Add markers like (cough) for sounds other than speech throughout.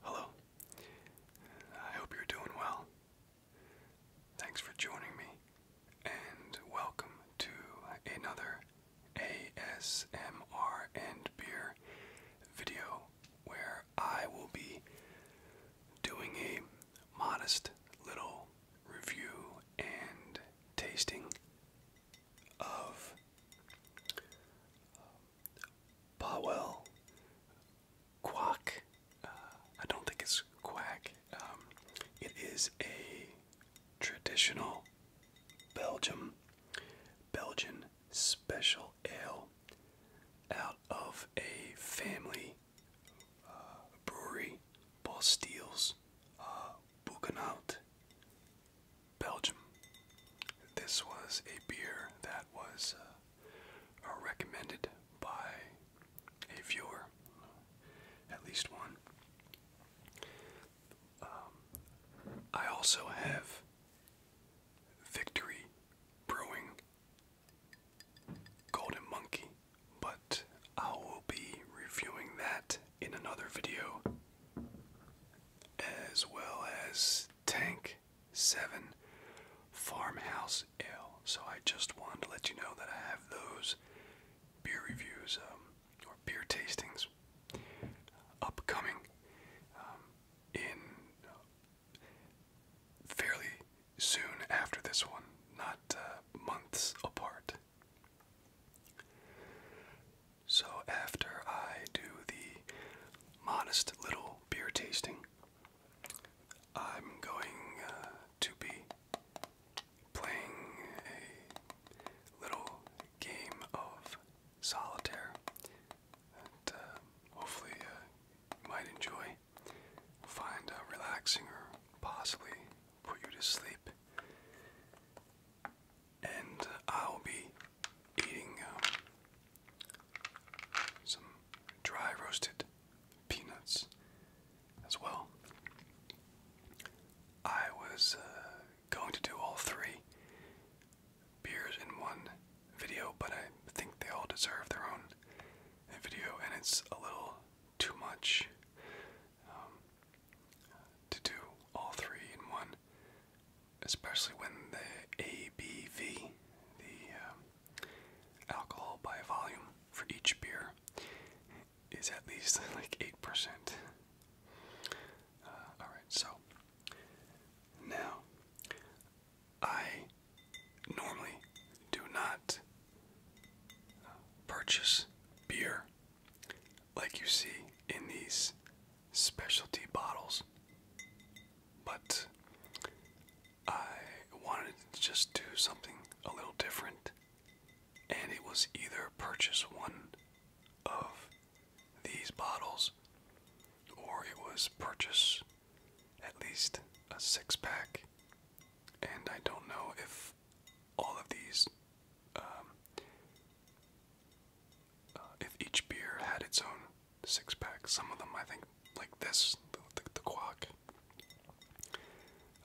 Hello. I hope you're doing well. Thanks for joining me, and welcome to another ASMR and Beer video where I will be doing a modest little review and tasting of Powell, Quack. Uh, I don't think it's quack. Um, it is a traditional Belgium, Belgian special ale out of a family uh, brewery, Bostiels, uh, Belgium. This was a beer that was uh, uh, recommended by a viewer, at least one. Um, I also have Victory Brewing Golden Monkey, but I will be reviewing that in another video, as well as Tank 7 Farmhouse Ale. So I just wanted to let you know that I have those beer reviews um, or beer tastings upcoming um, in uh, fairly soon after this one, not uh, months apart. So after I do the modest little beer tasting. I'm going uh, to be playing a little game of solitaire that uh, hopefully uh, you might enjoy, find relaxing, or possibly put you to sleep. And I'll be eating um, some dry roasted peanuts as well. I was uh, going to do all three beers in one video, but I think they all deserve their own video, and it's a little too much um, to do all three in one especially when the ABV, the um, alcohol by volume for each beer, is at least (laughs) like 8%. Uh, alright, so now I normally do not uh, purchase beer like you see in these specialty bottles, but I wanted to just do something a little different, and it was either purchase one of these bottles or it was purchase at least a six pack, and I don't know if all of these um, uh, if each beer had its own six pack. Some of them, I think, like this, the, the, Quack,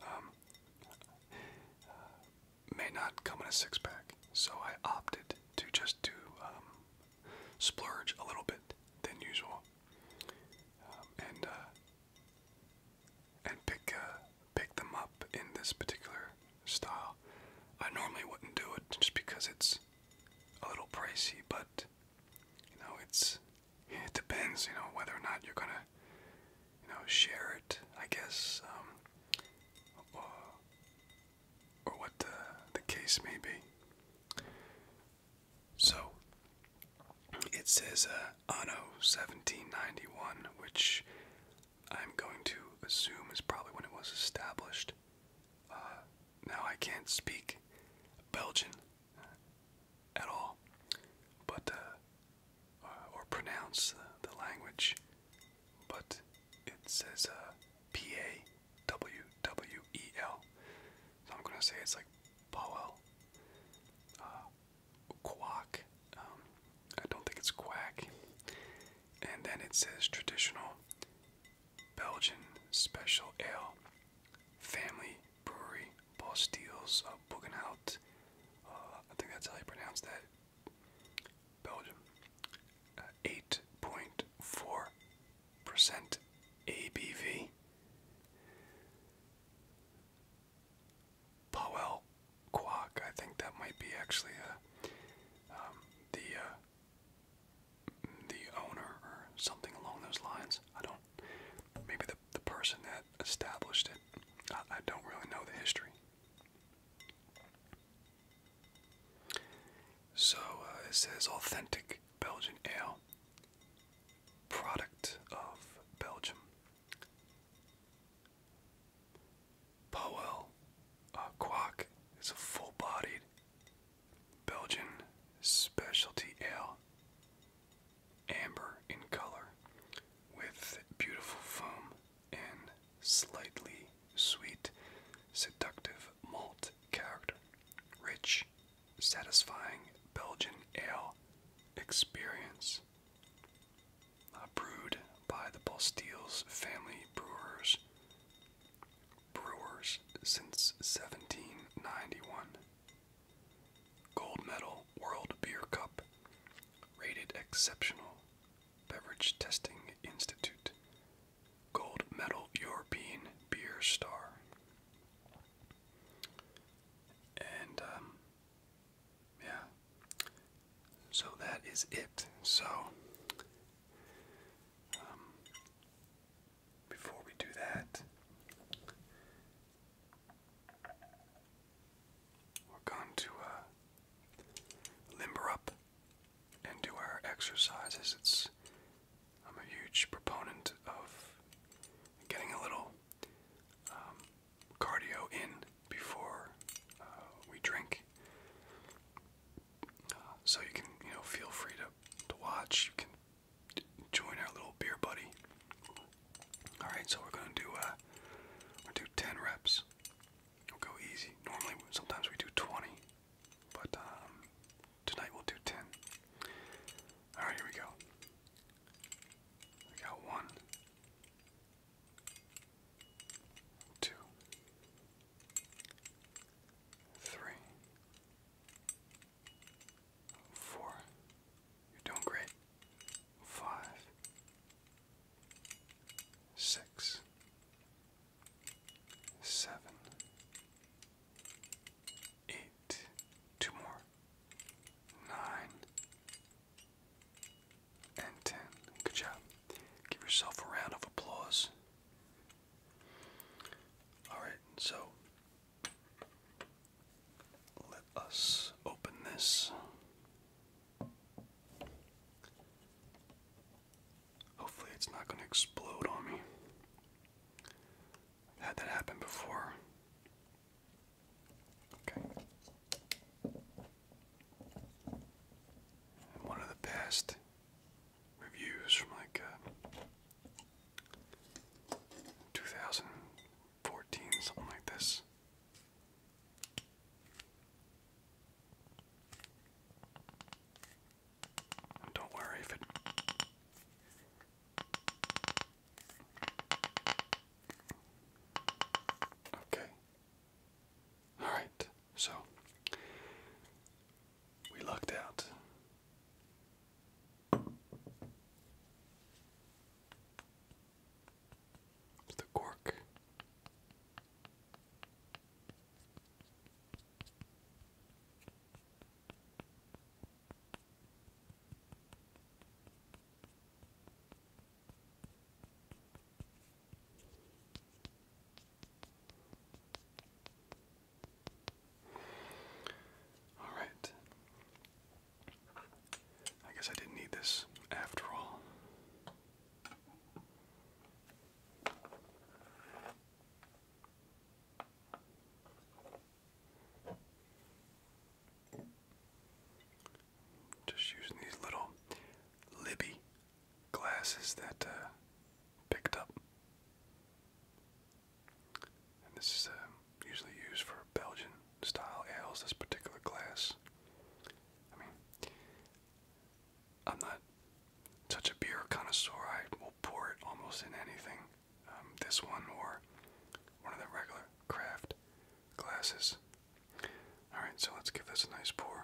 um, may not come in a six pack. So I opted to just do um, splurge a little bit than usual, um, and uh, and pick uh, pick them up in this particular style. I normally wouldn't do it just because it's a little pricey, but you know it's it depends, you know, whether or not you're gonna you know share it. I guess, um, or, what the case may be. So it says uh, Anno 1791, which I'm going to assume is probably when it was established. Uh, now I can't speak Belgian uh, at all, but uh, or pronounce the, language, but it says uh, P A W W E L, so I'm gonna say it's like Powell. Uh, quack. Um, I don't think it's quack. And then it says traditional Belgian Special Ale, Family Brewery, Bastille's uh, of uh, I think that's how you pronounce that. Belgium. 8.4% uh, ABV. Powell Quack, I think that might be actually a, uh, um, the the owner or something along those lines. I don't. Maybe the the person that established it. I, don't really know the history. So uh, it says authentic Belgian ale, product of Belgium. Powell Quack uh, is a full-bodied Belgian specialty ale, amber in color, with beautiful foam and slightly sweet, seductive malt character. Rich, satisfying Belgian ale experience. brewed by the Bastilles family brewers. Brewers since 1791. Gold medal World Beer Cup. Rated Exceptional. Beverage Testing Institute. Gold medal European Beer Star. And, um, yeah. So that is it. So, um, before we do that, we're going to uh, limber up and do our exercises. It's I'm a huge proponent of getting a little um, cardio in before uh, we drink so you can, you know, feel free to, to watch. You can join our little beer buddy. All right, so we're gonna do uh, we'll do 10 reps. We'll go easy. Normally, sometimes we do 20, but um, tonight we'll do 10. All right, here we go. We got one, two, three, four. You're doing great. Five, six, seven, eight. Two more. Nine and ten. Good job. Give yourself a round of applause. All right, so let us open this. Hopefully, it's not going to explode on me. had that happen before. Okay. one of the past reviews from like uh, 2014, something like this. don't worry if it Okay. Alright, so we lucked out. the cork. Alright. I guess I didn't need this after all. Just using these little Libby glasses that uh, picked up. this is uh, usually used for Belgian style ales, this particular glass. I mean, I'm not such a beer connoisseur, I will pour it almost in anything. Um, this one or one of the regular craft glasses. Alright, so let's give this a nice pour.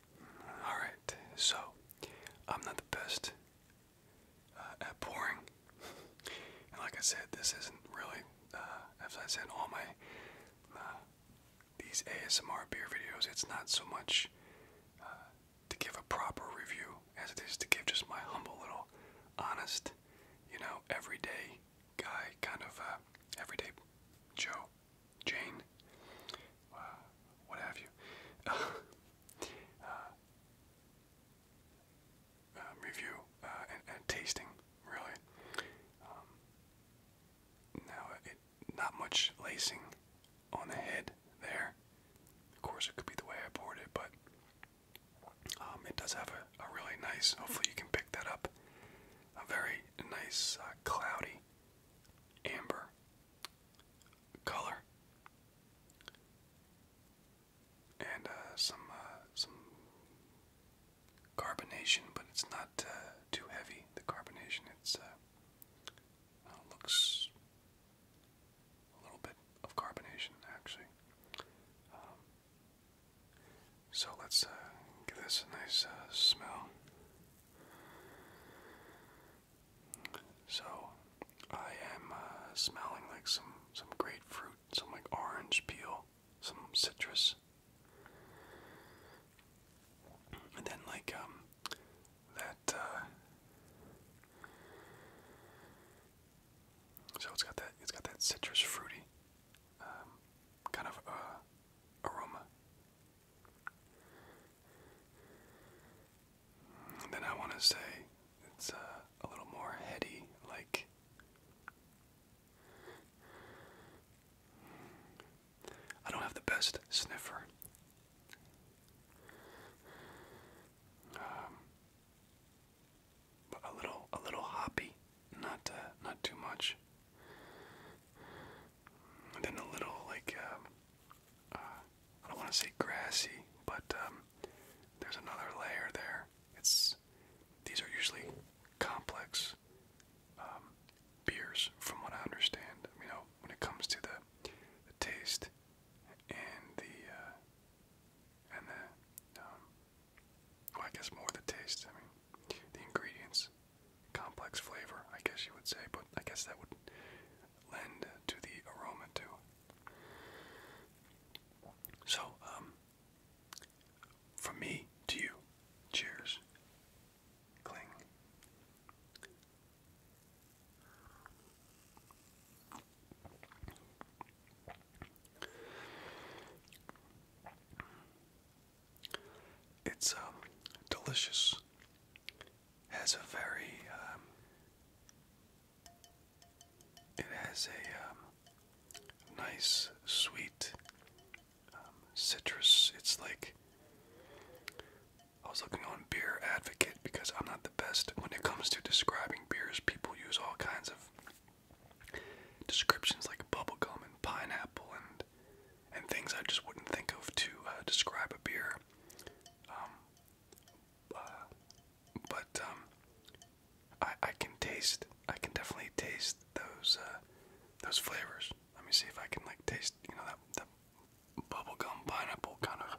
Alright, so I'm not the best uh, at pouring. (laughs) and like I said, this isn't really, uh, as I said, all my, uh, these ASMR beer videos, it's not so much to give a proper review as it is to give just my humble little, honest, you know, everyday guy, kind of everyday Joe Jane, what have you. (laughs) Uh, um, review uh, and, tasting, really. Um, now, it, not much lacing on the head there. Of course, it could be the way I poured it, but um, it does have a, a really nice, hopefully, you can pick that up, a very nice, uh, cloudy amber color, and uh, some uh, some carbonation, but it's not uh, too heavy. The carbonation, it's looks a little bit of carbonation actually. Um, so let's give this a nice smell. So I am uh, smelling like some some grapefruit, some like orange peel, some citrus, and then like um, that. Uh, so it's got that it's got that citrus fruity um, kind of uh, aroma then I want to say it's uh, a little more heady, like I don't have the best sniffer. Um, but a little, a little hoppy, not uh, not too much then a little like um, uh, I don't want to say grassy, but um, there's another layer there. It's these are usually complex um, beers, from what I understand. You know, when it comes to the, taste and the uh, and the um, I guess more the taste. I mean, the ingredients complex flavor, I guess you would say, but I guess that would lend to the aroma too. So, um, me to you, cheers. Cling. It's um, delicious. Has a very um, it has a um, nice sweet um, citrus. It's like I was looking on Beer Advocate because I'm not the best when it comes to describing beers. People use all kinds of descriptions like bubble gum and pineapple and and things I just wouldn't think of to uh, describe a beer. Um, uh, but um, I, I can taste. I can definitely taste those uh, those flavors. Let me see if I can like taste. You know that that bubblegum pineapple kind of.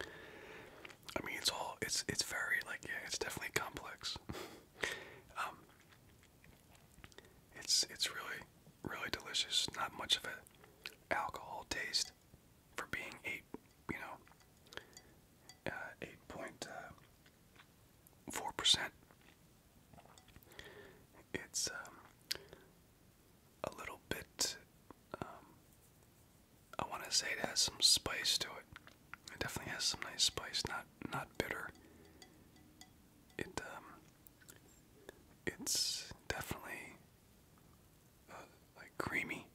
I mean, it's all it's it's very like yeah, it's definitely complex. (laughs) Um, it's it's really really delicious. Not much of a alcohol taste for being eight, you know, uh, eight point uh, four percent. It's um, a little bit um, I want to say it has some spice to it. It definitely has some nice spice, not not bitter. It um, it's definitely uh, like creamy.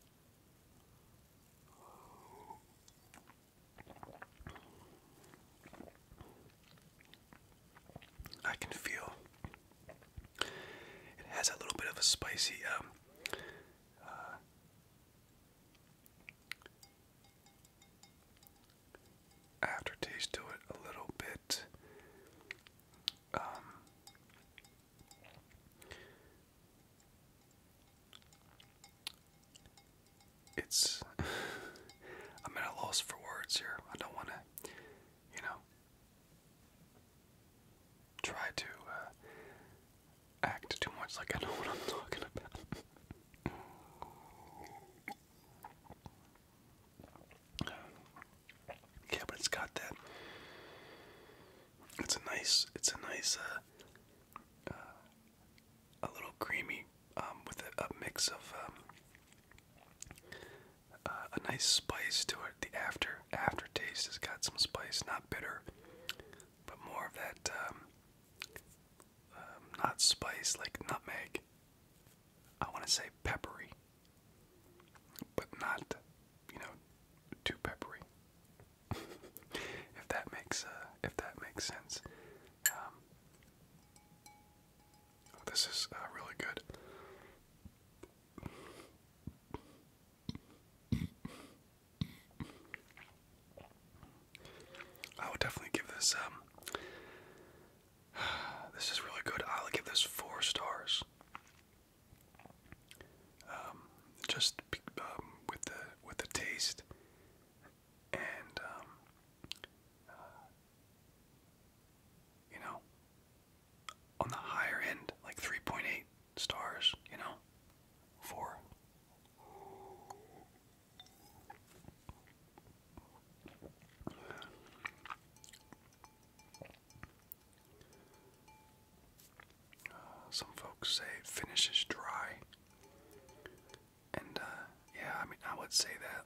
I can feel it has a little bit of a spicy um, uh, aftertaste to it a little bit. Um, it's (laughs) I'm at a loss for words here. I don't want to, you know, try to uh, act too much like I know what I'm talking about. yeah, but it's got that. It's a nice. It's a nice. Uh, uh, a little creamy, um, with a, mix of um, uh, a nice spice to it. The after aftertaste has got some spice, not bitter, but more of that um, um, not spice like nutmeg. I want to say peppery, but not you know too peppery. (laughs) if that makes uh, if that makes sense. Um, this is uh, really good. I would definitely give this. Um, (sighs) this is really good. I'll give this four stars. Um, just um, with the with the taste and um, uh, you know on the higher end, like three point eight stars, you know? Four. some folks say finishes dry. And, uh, yeah, I mean, I would say that.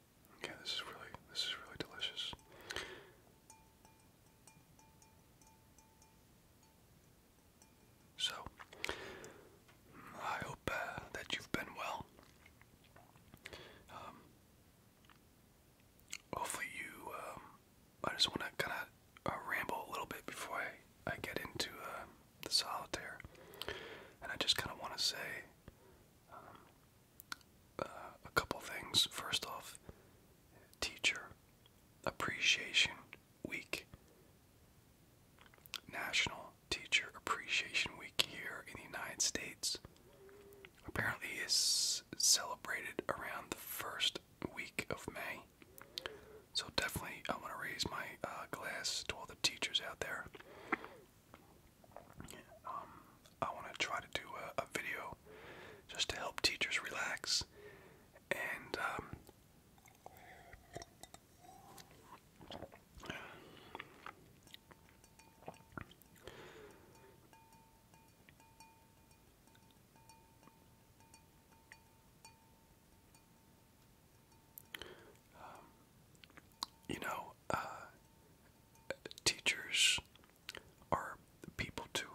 Okay, this is really this is really delicious. So, I hope uh, that you've been well. Um, hopefully, you. Um, I just want to kind of uh, ramble a little bit before I, I get into uh, the solitaire. And I just kind of want to say um, uh, a couple things. First off, Teacher Appreciation Week. National Teacher Appreciation Week here in the United States apparently is celebrated around the first week of May. So definitely I want to raise my uh, glass to all the teachers out there. Um, I want to try to do a, video just to help teachers relax and um, um, you know, uh, teachers are people too.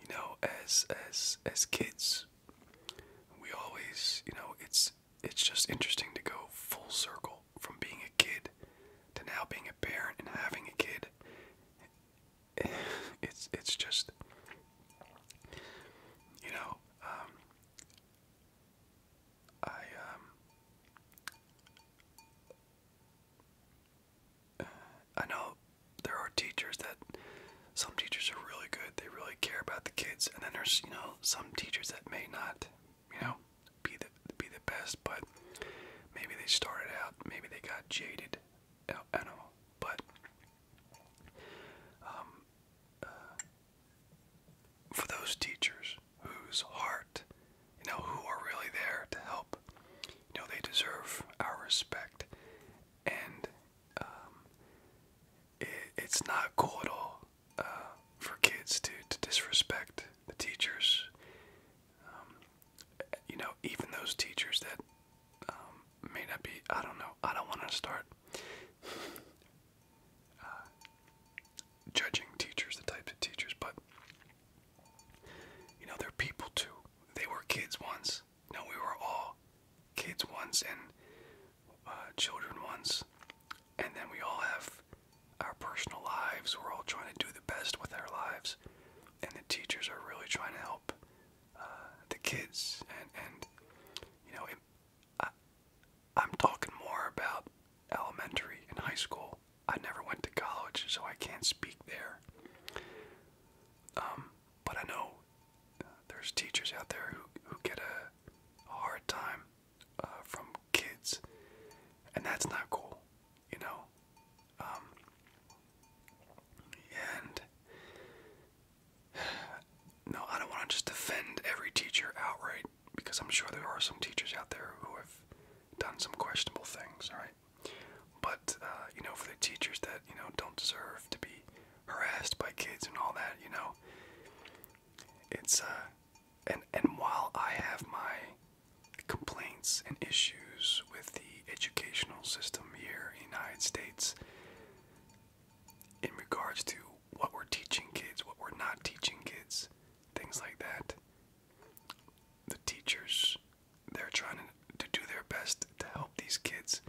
You know, as as as kids, we always, you know, it's it's just interesting to go full circle from being a kid to now being a parent and having a kid. (laughs) It's it's just you know, um, I um, I know there are teachers that some teachers are really good, they really care about the kids, and then there's, you know, some teachers that may not, you know, be the be the best, but maybe they started out, maybe they got jaded. I don't, I don't know, but um, uh, for those teachers whose heart you know, who are really there to help. You know, they deserve our respect. And um, it's not cool at all uh, for kids to, to disrespect the teachers. Um, you know, even those teachers that um, may not be, I don't know, I don't want to start uh, judging teachers, the type of teachers, but you know, they're people too. They were kids once. You we were all kids once and uh, children once. And then we all have our personal lives. We're all trying to do the best with our lives. And the teachers are really trying to help uh, the kids. And, you know, I'm talking more about elementary and high school I never went to college, so I can't speak there. Um, but I know uh, there's teachers out there who, who get a, hard time uh, from kids, and that's not cool, you know. Um, and (sighs) no, I don't want to just defend every teacher outright because I'm sure there are some teachers out there who have done some questionable things, All right. But uh, you know, for the teachers that you know don't deserve to be harassed by kids and all that, you know, it's uh, and and while I have my complaints and issues with the educational system here in the United States, in regards to what we're teaching kids, what we're not teaching kids, things like that. The teachers they're trying to do their best to help these kids,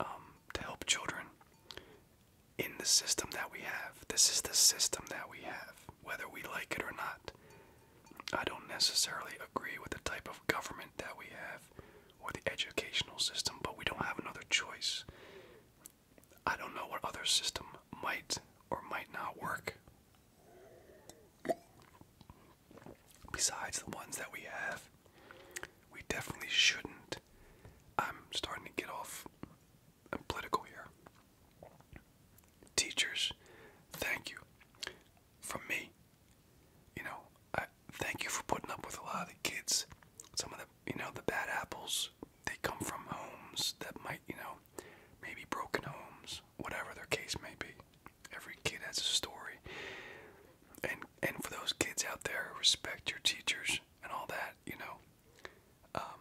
um, to help children in the system that we have. This is the system that we have, whether we like it or not. I don't necessarily agree with the type of government that we have or the educational system, but we don't have another choice. I don't know what other system might or might not work. Besides the ones that we have, we definitely shouldn't. I'm starting to get off I'm political here. Teachers, thank you. From me, you know, I thank you for putting up with a lot of the kids. Some of the, you know, the bad apples, they come from homes that might, you know, maybe broken homes whatever their case may be. Every kid has a story. And and for those kids out there, respect your teachers and all that, you know. Um,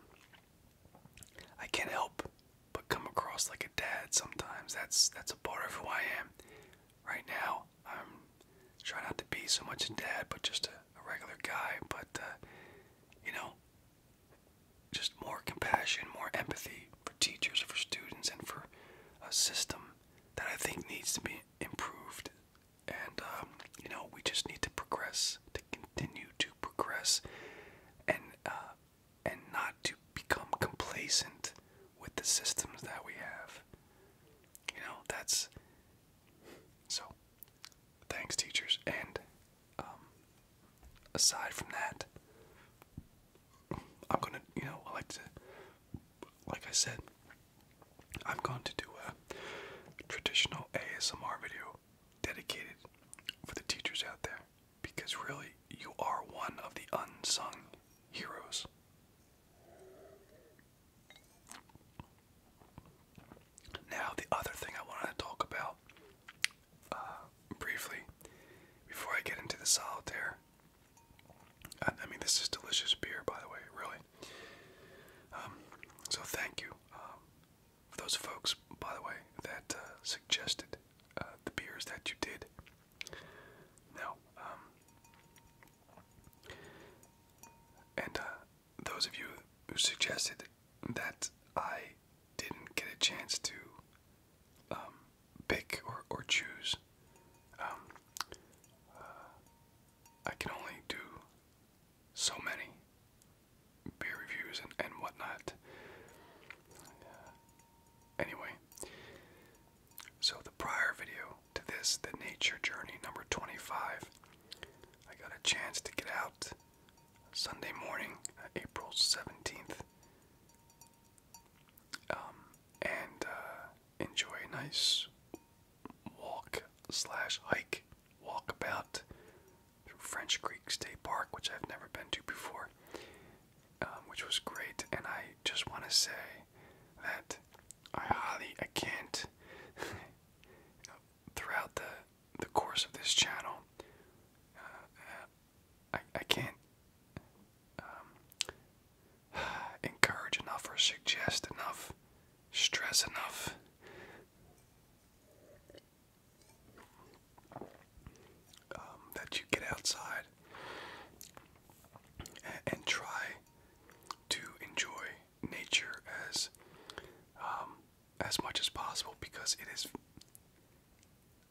I can't help but come across like a dad sometimes. That's that's a part of who I am. Right now, I'm trying not to be so much a dad, but just a, regular guy. But uh, you know, just more compassion, more empathy for teachers, for students, and for a system that I think needs to be improved. And, um, you know, we just need to progress, to continue to progress, and, uh, and not to become complacent with the systems that we have. You know, that's. So, thanks, teachers, and um, aside from that, I'm gonna, you know, I like to, like I said, I'm going to do a traditional ASMR video dedicated for the teachers out there because really you are one of the unsung heroes. Now, the other thing I wanted to talk about uh, briefly before I get into the solitaire. I, mean, this is delicious beer, by the way, really. Um, so thank you um, for those folks, by the way, that uh, suggested uh, the beers that you did. Now, um, and those of you who suggested that I didn't get a chance to um, pick or, or choose. Um, uh, I can only do so many beer reviews and, and whatnot. anyway, so the prior video to this, the nature journey number 25, I got a chance to get out Sunday morning, uh, April 17th, um, and uh, enjoy a nice walk slash hike walk about through French Creek State Park, which I've never been to before, um, which was great. And I just want to say that I highly I can't (laughs) throughout the the course of this channel. Uh, I, I can't um, (sighs) encourage enough or suggest enough, stress enough. Um, that you get outside and, try to enjoy nature as um, as much as possible because it is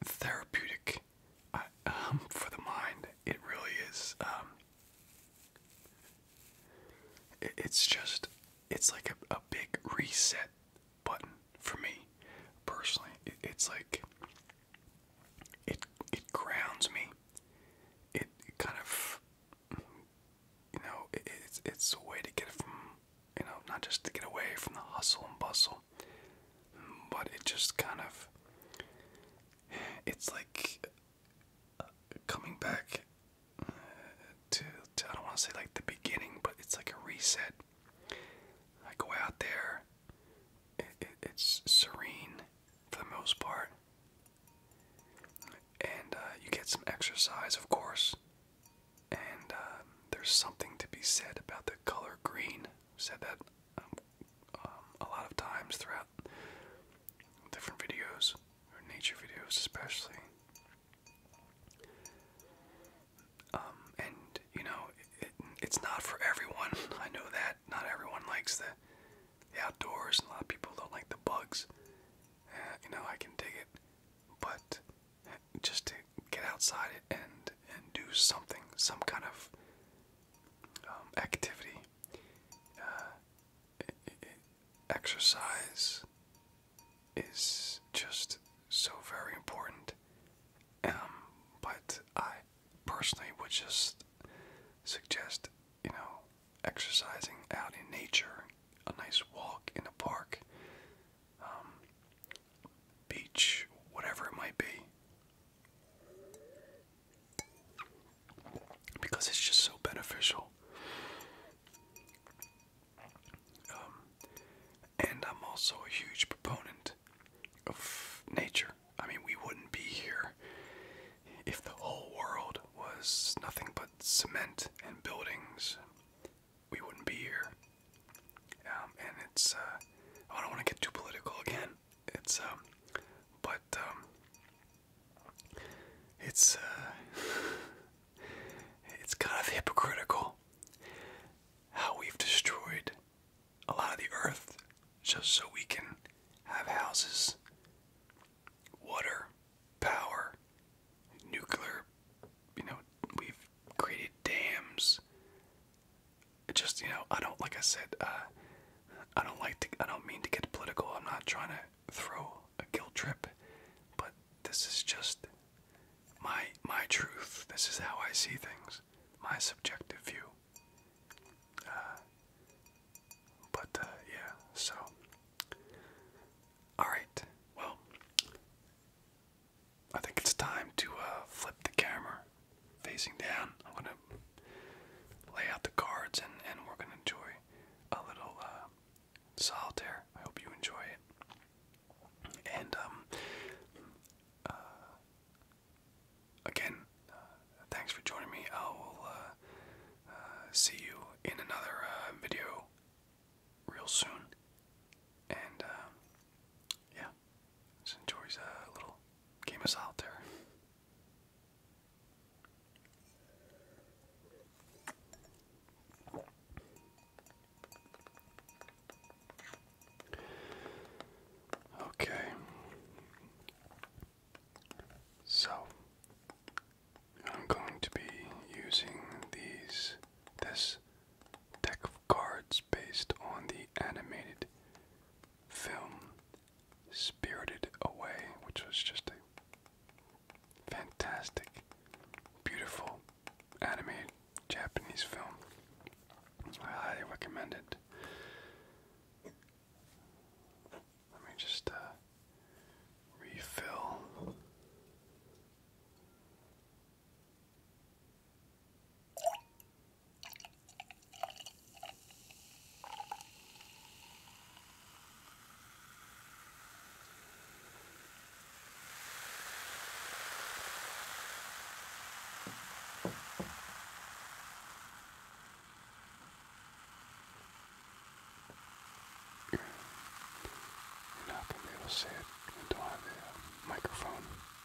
therapeutic uh, um, for the mind. It really is. Um, it's just, it's like a, a big reset button for me personally. it's like it it grounds me. It, it kind of you know it's it's a way to get from you know, not just to get away from the hustle and bustle, but it just kind of, it's like uh, coming back uh, to, I don't want to say like the beginning, but it's like a reset. I go out there, it's serene for the most part, and uh, you get some exercise, of course. And um, there's something to be said about the color green. said that um, um, a lot of times throughout different videos, or nature videos especially. and you know, it's not for everyone. (laughs) I know that not everyone likes the, outdoors, a lot of people don't like the bugs. Uh, you know, I can dig it, but just to get outside and and do something, some kind of um, activity, uh, exercise is just so very important. Um, but I personally would just suggest, you know, exercising out in nature, a nice walk in a park, um, beach, whatever it might be. Because it's just so beneficial. Um, and I'm also a huge proponent of nature. I mean, we wouldn't be here if the whole world was nothing but cement and buildings we wouldn't be here. Um, and it's, uh, oh, I don't want to get too political again. It's, um, but, um, it's, uh, (laughs) it's kind of hypocritical how we've destroyed a lot of the earth just so we can have houses, water, power, nuclear, you know, we've created dams, just you know, I don't like I said, uh, I don't like to, I don't mean to get political. I'm not trying to throw a guilt trip, but this is just my my truth. This is how I see things, my subjective view. Uh, but uh, yeah, so all right, well. I think it's time to uh, flip the camera facing down. I'm going to lay out the cards and, we're going to enjoy a little uh, solitaire. I hope you enjoy it. And, um, uh, again, thanks for joining me. I will see you in another video real soon. And, yeah, enjoys a little game of solitaire. Okay, so I'm going to be using these this deck of cards based on the animated film Spirited Away, which was just a fantastic, beautiful animated Japanese film. I highly recommend it. Let me just uh, refill you're not going to be able to see it until I have the microphone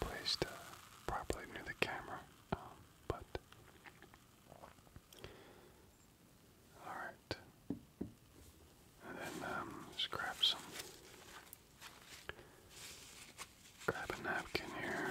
placed uh, properly near the camera. Um, but all right, and then um, just grab some, grab a napkin here.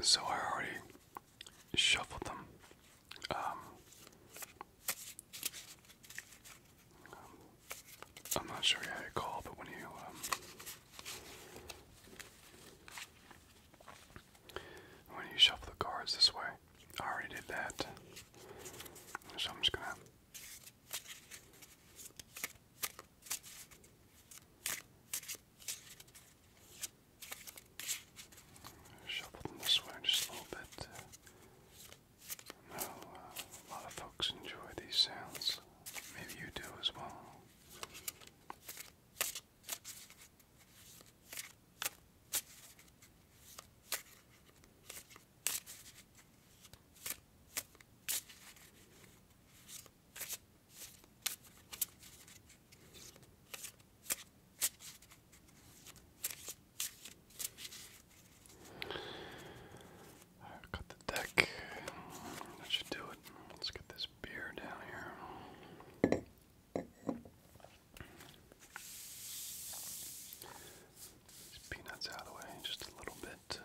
So I already shuffled them. Um, I'm not sure how you call, but when you um, when you shuffle the cards this way, I already did that. So I'm just gonna Shuffle them this way just a little bit. I know uh, a lot of folks enjoy these sounds. Maybe you do as well. I've got the deck. That should do it. Let's get this beer down here these peanuts out of the way just a little bit. Uh,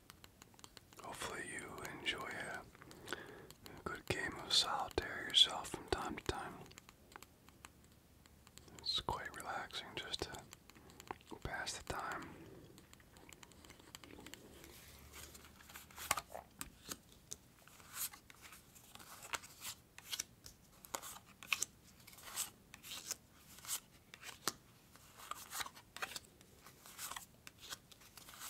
Hopefully, you enjoy a, good game of solitaire yourself from time to time. It's quite relaxing just to pass the time.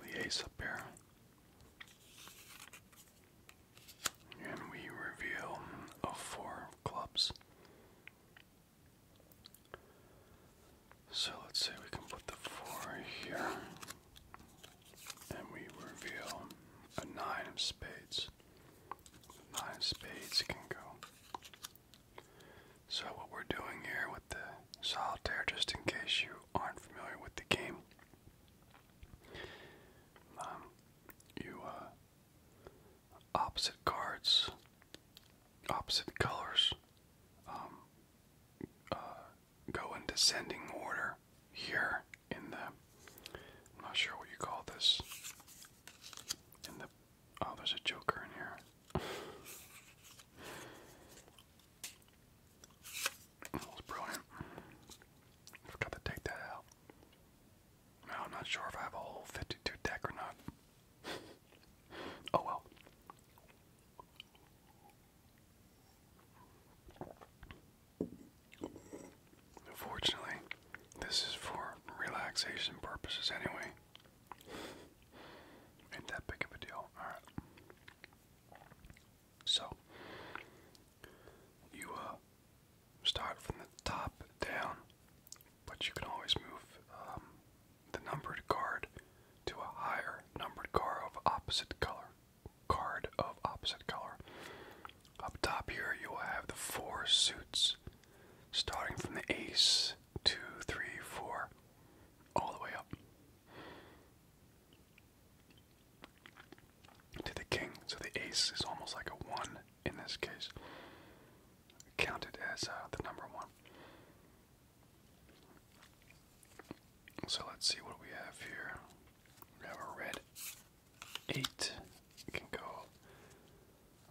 The ace up here. And we reveal a four of clubs. So let's say we can put the 4 here. And we reveal a 9 of spades. The 9 of spades can go. So, what we're doing here with the solitaire, just in case you aren't familiar with the game, um, you uh, opposite cards, opposite colors, um, uh, go in descending order here in the, I'm not sure what you call this, in the, oh, there's a joker in here. (laughs) That was brilliant. I forgot to take that out. I'm not sure if I have a whole 52 deck or not. (laughs) oh well. Unfortunately, this is for relaxation purposes anyway. Ain't that big of a deal. Alright. So, you, uh, start from the top down, but you can always move um, the numbered card to a higher numbered card of opposite color. Card of opposite color. Up top here, you will have the four suits, starting from the ace, two, three, four, all the way up to the king. So the ace is almost like a one in this case counted as uh, the number one. So let's see what we have here. We have a red eight. You can go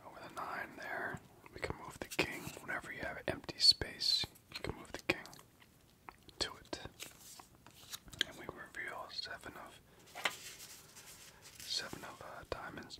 over the nine there. We can move the king. Whenever you have empty space, you can move the king to it. And we reveal seven of seven of uh, diamonds.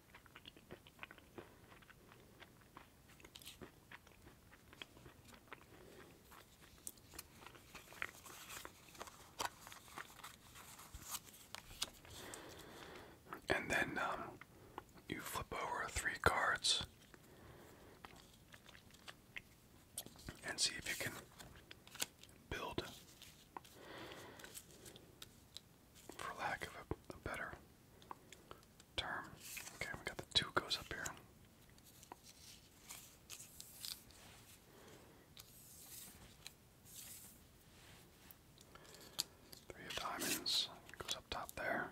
And then um, you flip over three cards and see if you can build for lack of a, better term. Okay, we got the two goes up here. Three of diamonds goes up top there.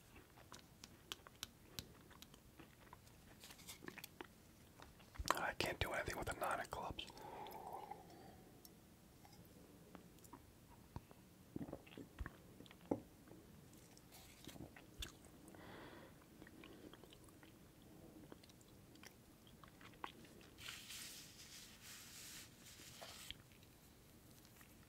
I can't do anything with the nine of clubs.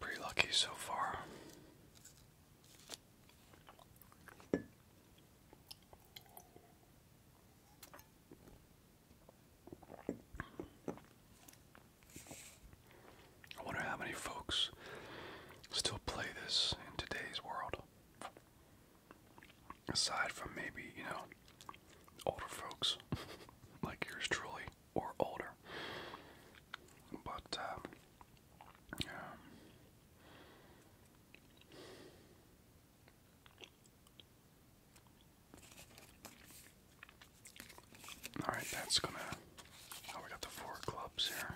Pretty lucky so far. I wonder how many folks still play this in today's world. Aside from maybe, you know, older folks (laughs) like yours truly or older. But um, um, all right, that's gonna. Oh, we got the four clubs here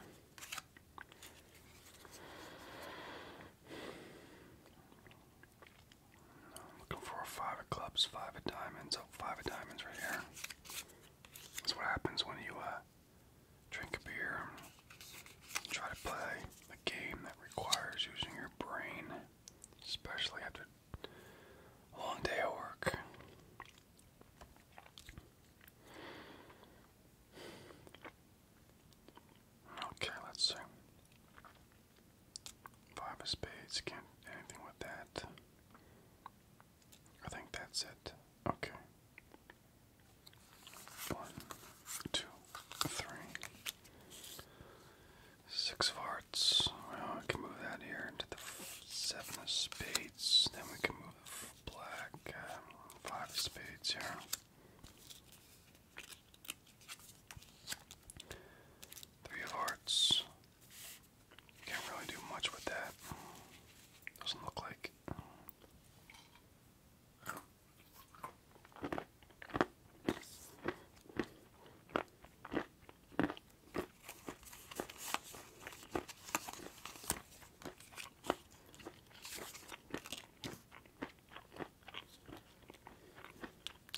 looking for a five of clubs, five of diamonds. Oh, five of diamonds right here. That's what happens when you uh, drink a beer and try to play a game that requires using your brain, especially after a long day of work. Okay, let's see. Five of spades, can't do anything with that. I think that's it. Okay. One, two, three. Six of hearts. Well, I can move that here into the seven of spades. Then we can move the black um, five of spades here. Three of hearts, can't really do much with that. Doesn't look like.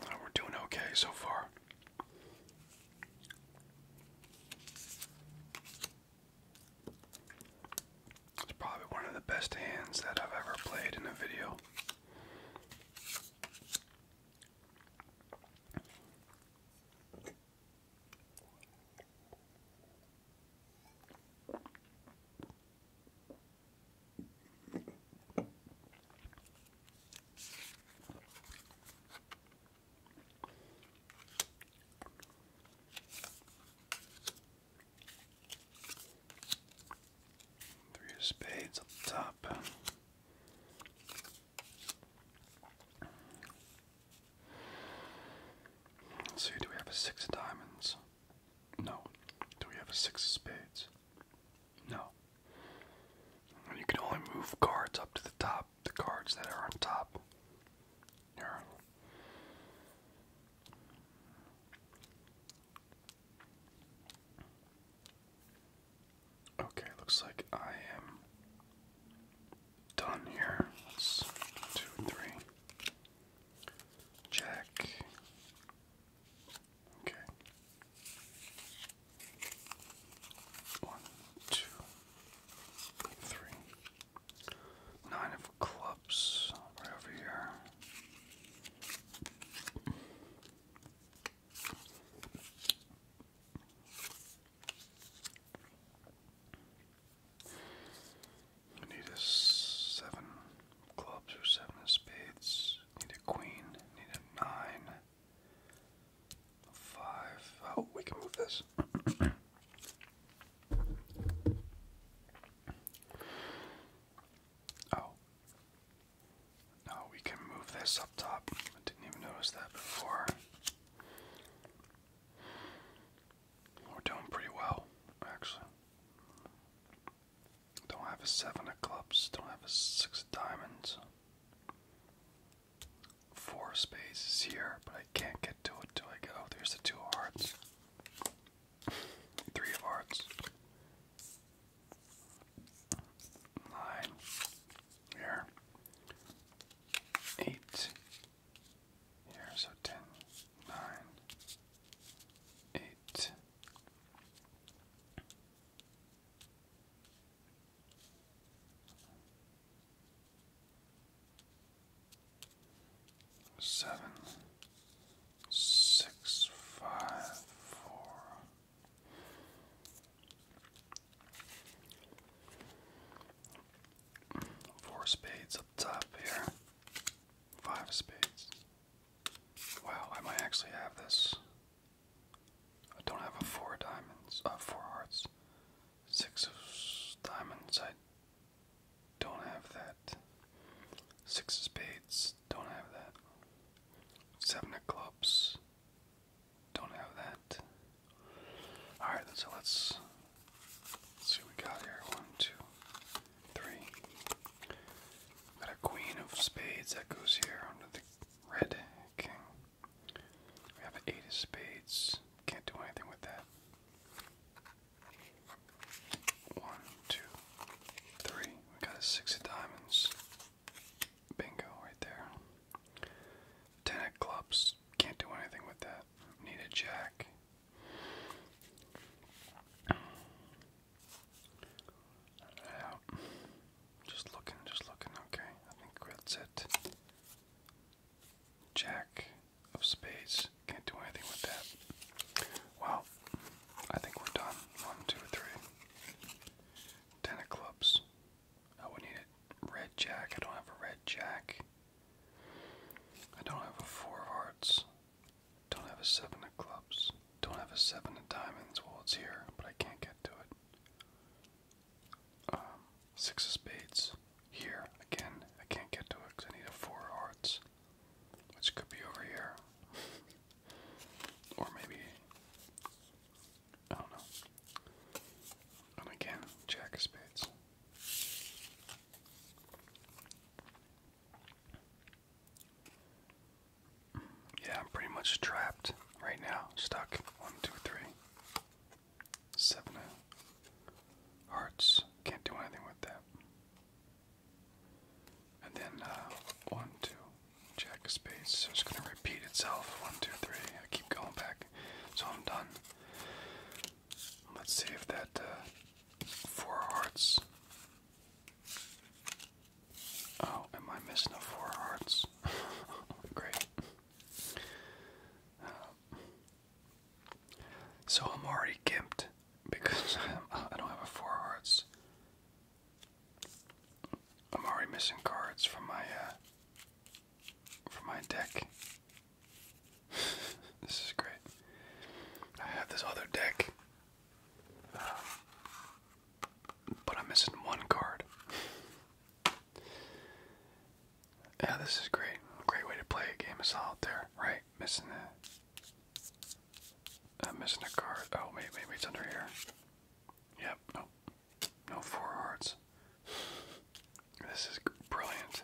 Oh, we're doing okay so far. It's probably one of the best hands that I've ever played in a video. Three of spades the top let see, do we have a six of diamonds? No. Do we have a six of spades? No. You can only move cards up to the top, the cards that are on top. Okay, looks like I am done here. two, three. Check. Okay. One, two, three. Nine of clubs right over here. We need a seven clubs or seven spades. Need a queen. Need a nine. A five. Oh, we can move this. (clears throat) oh. No, we can move this up top. I didn't even notice that before. We're doing pretty well, actually. Don't have a seven of clubs, don't have a six of diamonds. Four spaces here, but I can't get to it till I get. Oh, there's the two of hearts. (laughs) Three of hearts. Nine. Here. Eight here, so 10, 9, 8. Seven, six, five, four. Four spades up top here. Five spades. Wow, I might actually have this. I don't have a four diamonds, uh, four hearts. Six of diamonds, I don't have that. Six of spades, don't have that. Seven of clubs, don't have that. All right, so let's, see what we got here. One, two, three. We Got a queen of spades that goes here under the red king. We have an eight of spades. Can't do anything with that. One, two, three. We got a six of diamonds. Bingo right there. Ten of clubs. Can't do anything with that need a jack. Yeah. Just looking, just looking. Okay, I think that's it. Jack of space. Can't do anything with that. Well, I think we're done. One, two, three. Ten of clubs. I oh, would need a red jack. I don't have a red jack. I don't have a four of hearts. Don't have a seven of clubs. Don't have a seven of diamonds. Well, it's here, but I can't get to it. Um, six of spades. Here, again, I can't get to it because I need a four of hearts. Which could be over here. or maybe. I don't know. And again, jack of spades. Yeah, I'm pretty much trapped right now. Stuck. One, two, three. Seven hearts. Can't do anything with that. And then uh, one, two. Jack space. So it's going to repeat itself. One, two, three. I keep going back. So I'm done. Let's see if that uh, four hearts. Oh, am I missing a four hearts? (laughs) Great. Uh, so I'm already gimped because (laughs) I don't have a four hearts. I'm already missing cards from my uh, for my deck. (laughs) this is great. I have this other deck, um, but I'm missing one card. Yeah, this is great. Great way to play a game of solitaire, right? Missing a, I'm uh, missing a card. Oh, wait, maybe it's under here. Yep, no, no four hearts. This is brilliant.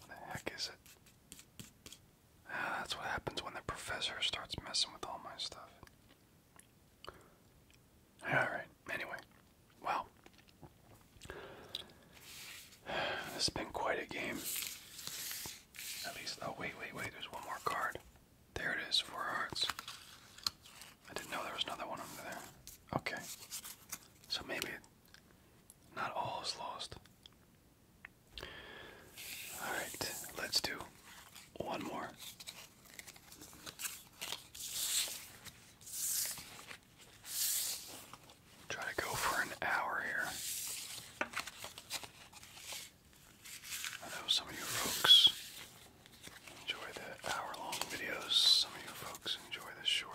What the heck is it? Ah, that's what happens when the professor starts messing with all my stuff. Alright, anyway. Well, (sighs) this has been quite a game. At least, oh, wait, wait, wait, there's one more card. There it is, Four Hearts. I didn't know there was another one under there. Okay. So maybe not all is lost. Alright, let's do one more. Try to go for an hour here. I know some of you folks enjoy the hour long videos, some of you folks enjoy the shorter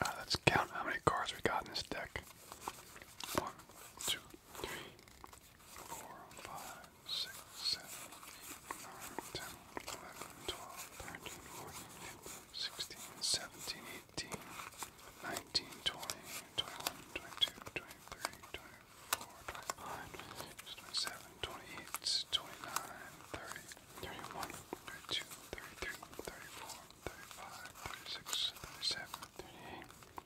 Uh, let's count how many cards we got in this deck. One, two, four, five, six, seven, eight, nine, ten, eleven, twelve, thirteen, fourteen, fifteen, sixteen, seventeen, eighteen, nineteen, twenty, twenty-one, twenty-two, twenty-three, twenty-four, twenty-five, twenty-six, twenty-seven, twenty-eight, twenty-nine, thirty, thirty-one, thirty-two, thirty-three, thirty-four, thirty-five, thirty-six, thirty-seven, thirty-eight. 39, 40, 41, 42, 43, 44, 45, 46, 47, 38, 39, 40, 41, 42, 43, 44, 45, 46, 47, 38, 39, 40, 41, 42, 43, 44, 45, 46, 47, 38, 39, 40, 41, 42, 43, 44, 38,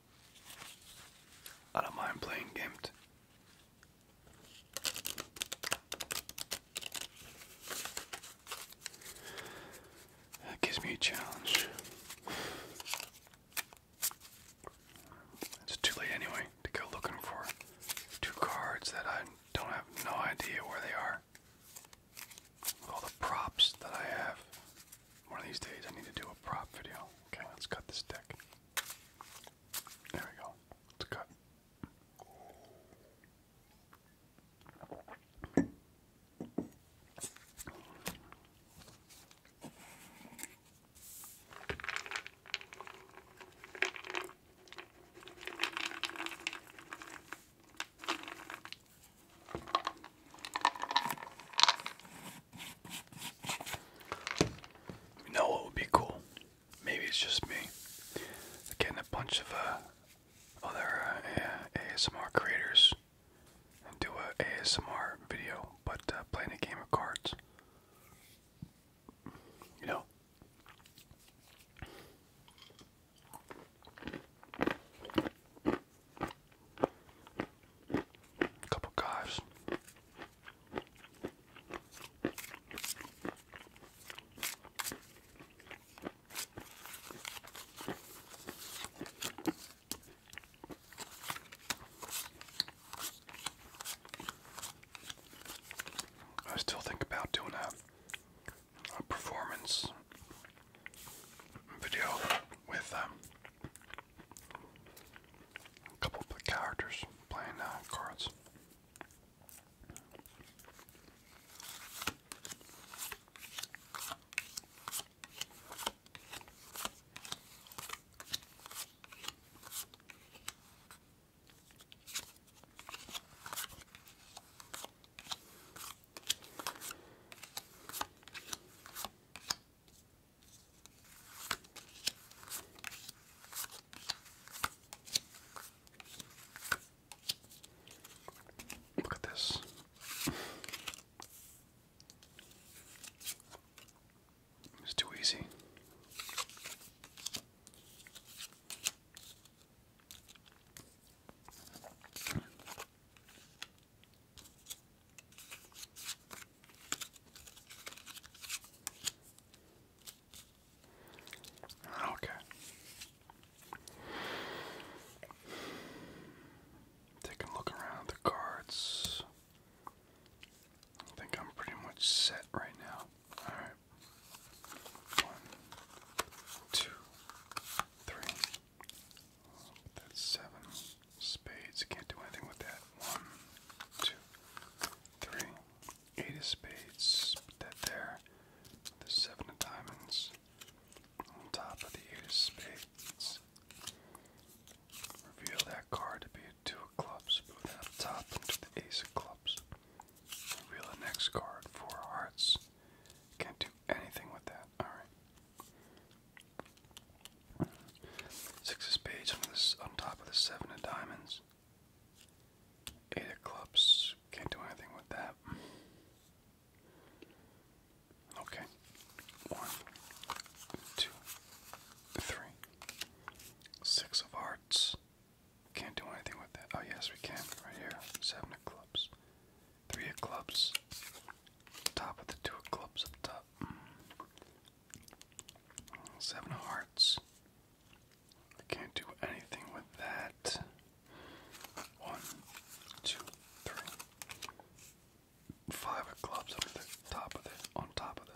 I don't mind playing games. That gives me a challenge. It's too late anyway to go looking for two cards that I don't have no idea where they are. all the props that I have. One of these days I need to do a prop video. Okay, let's cut this deck. There we go. It's cut. You know what would be cool? Maybe it's just me. Getting a bunch of uh, other uh, ASMR creators and do a ASMR video, but uh, playing a game of cards. You know. Couple guys, I still think about doing a, a performance video with them. Um, a couple of characters playing uh, cards. Look at this. It's too easy. Okay. Take a look around the cards. I think I'm pretty much set right now. Alright. One, two, three. That's seven spades. Can't do anything with that. One, two, three, eight three. Eight of spades. Put that there. The seven of diamonds on top of the eight of spades. Reveal that card to be a two of clubs. Move that top into the ace of clubs. Reveal the next card, four of hearts. Can't do anything with that. Alright. Six of spades on, top of the seven of diamonds. Eight of clubs. Can't do anything with that. Okay. One, two, three. Six of hearts. Can't do anything with that. Oh, yes, we can. Right here. Seven of clubs. Three of clubs. Top of the two of clubs up top. Seven of hearts. I can't do anything with that. One, two, of clubs on the top of it, on top of it.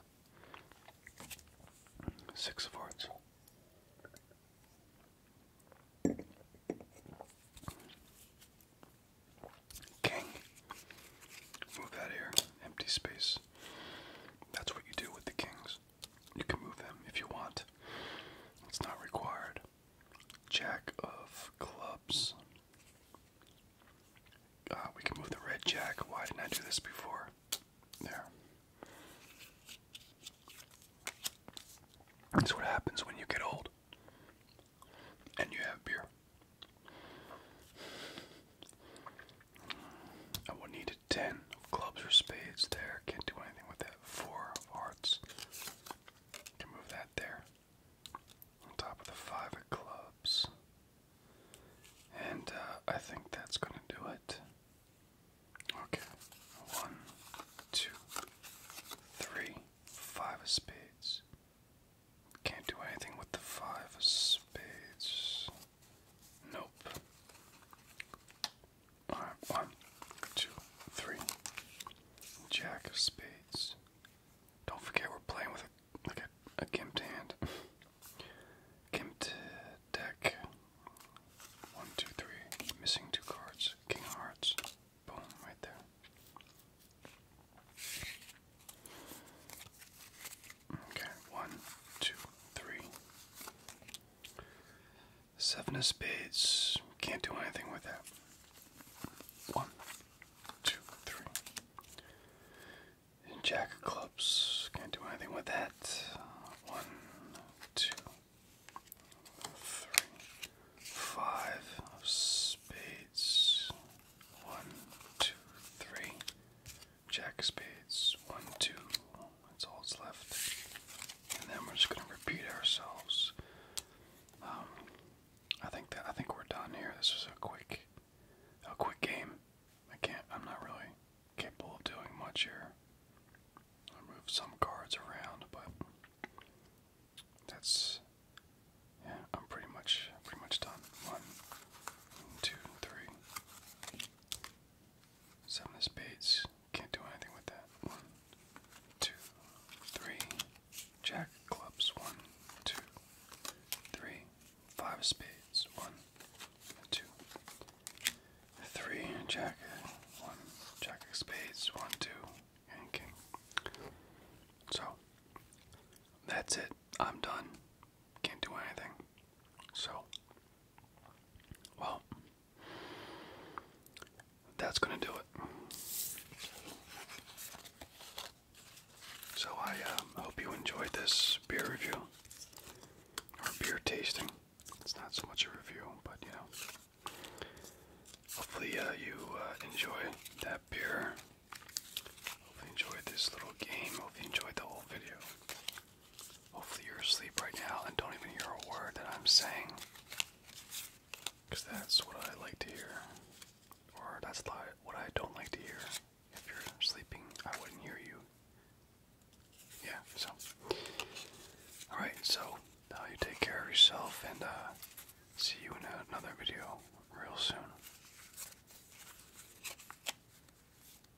Six of hearts. King. Move that here. Empty space. That's what you do with the kings. You can move them if you want. It's not required. Jack of clubs. Uh, we can move the red jack. Why didn't I do this before? There. That's what happens when you get old and you have beer. I would need a 10 of clubs or spades there. Can't do anything with that. 4 of hearts. Can move that there. On top of the 5 of clubs. And uh, I think that's going to do it. Okay. One, two, three, five of spades. Can't do anything with the five of spades. Nope. Alright, one, two, three. Jack of spades. Don't forget we're playing with a, a, a gimped hand. (laughs) gimped deck. One, two, three. Missing two cards. King of hearts. Boom, right there. Okay, one, two, three. Seven of spades. Can't do anything with that. One, two, three. And jack of clubs. Can't do anything with that. One, two, three, five of spades. One, two, three. Jack spades, one, two. That's all that's left. And then we're just gonna repeat ourselves. Um, I think that I think we're done here. This was a quick, a quick game. I can't. I'm not really capable of doing much here. I move some cards around, but that's yeah. I'm pretty much pretty much done. One, two, three, Seven of spades. Can't do anything with that. One, two, three. Jack clubs. One, two, of spades. One, two, three. Jack. One. Jack of spades. One, two, and king. So that's it. I'm done. Can't do anything. So, well, that's gonna do it. So I um, hope you enjoyed this beer review or beer tasting. It's not so much a review, but you know. Hopefully uh, you uh, enjoy that beer Hope you enjoyed this little game. Hope you enjoyed the whole video. Hopefully you're asleep right now and don't even hear a word that I'm saying. Because that's what I like to hear. Or that's what I don't like to hear. If you're sleeping, I wouldn't hear you. Yeah, so. Alright, so now uh, you take care of yourself and uh, see you in another video real soon.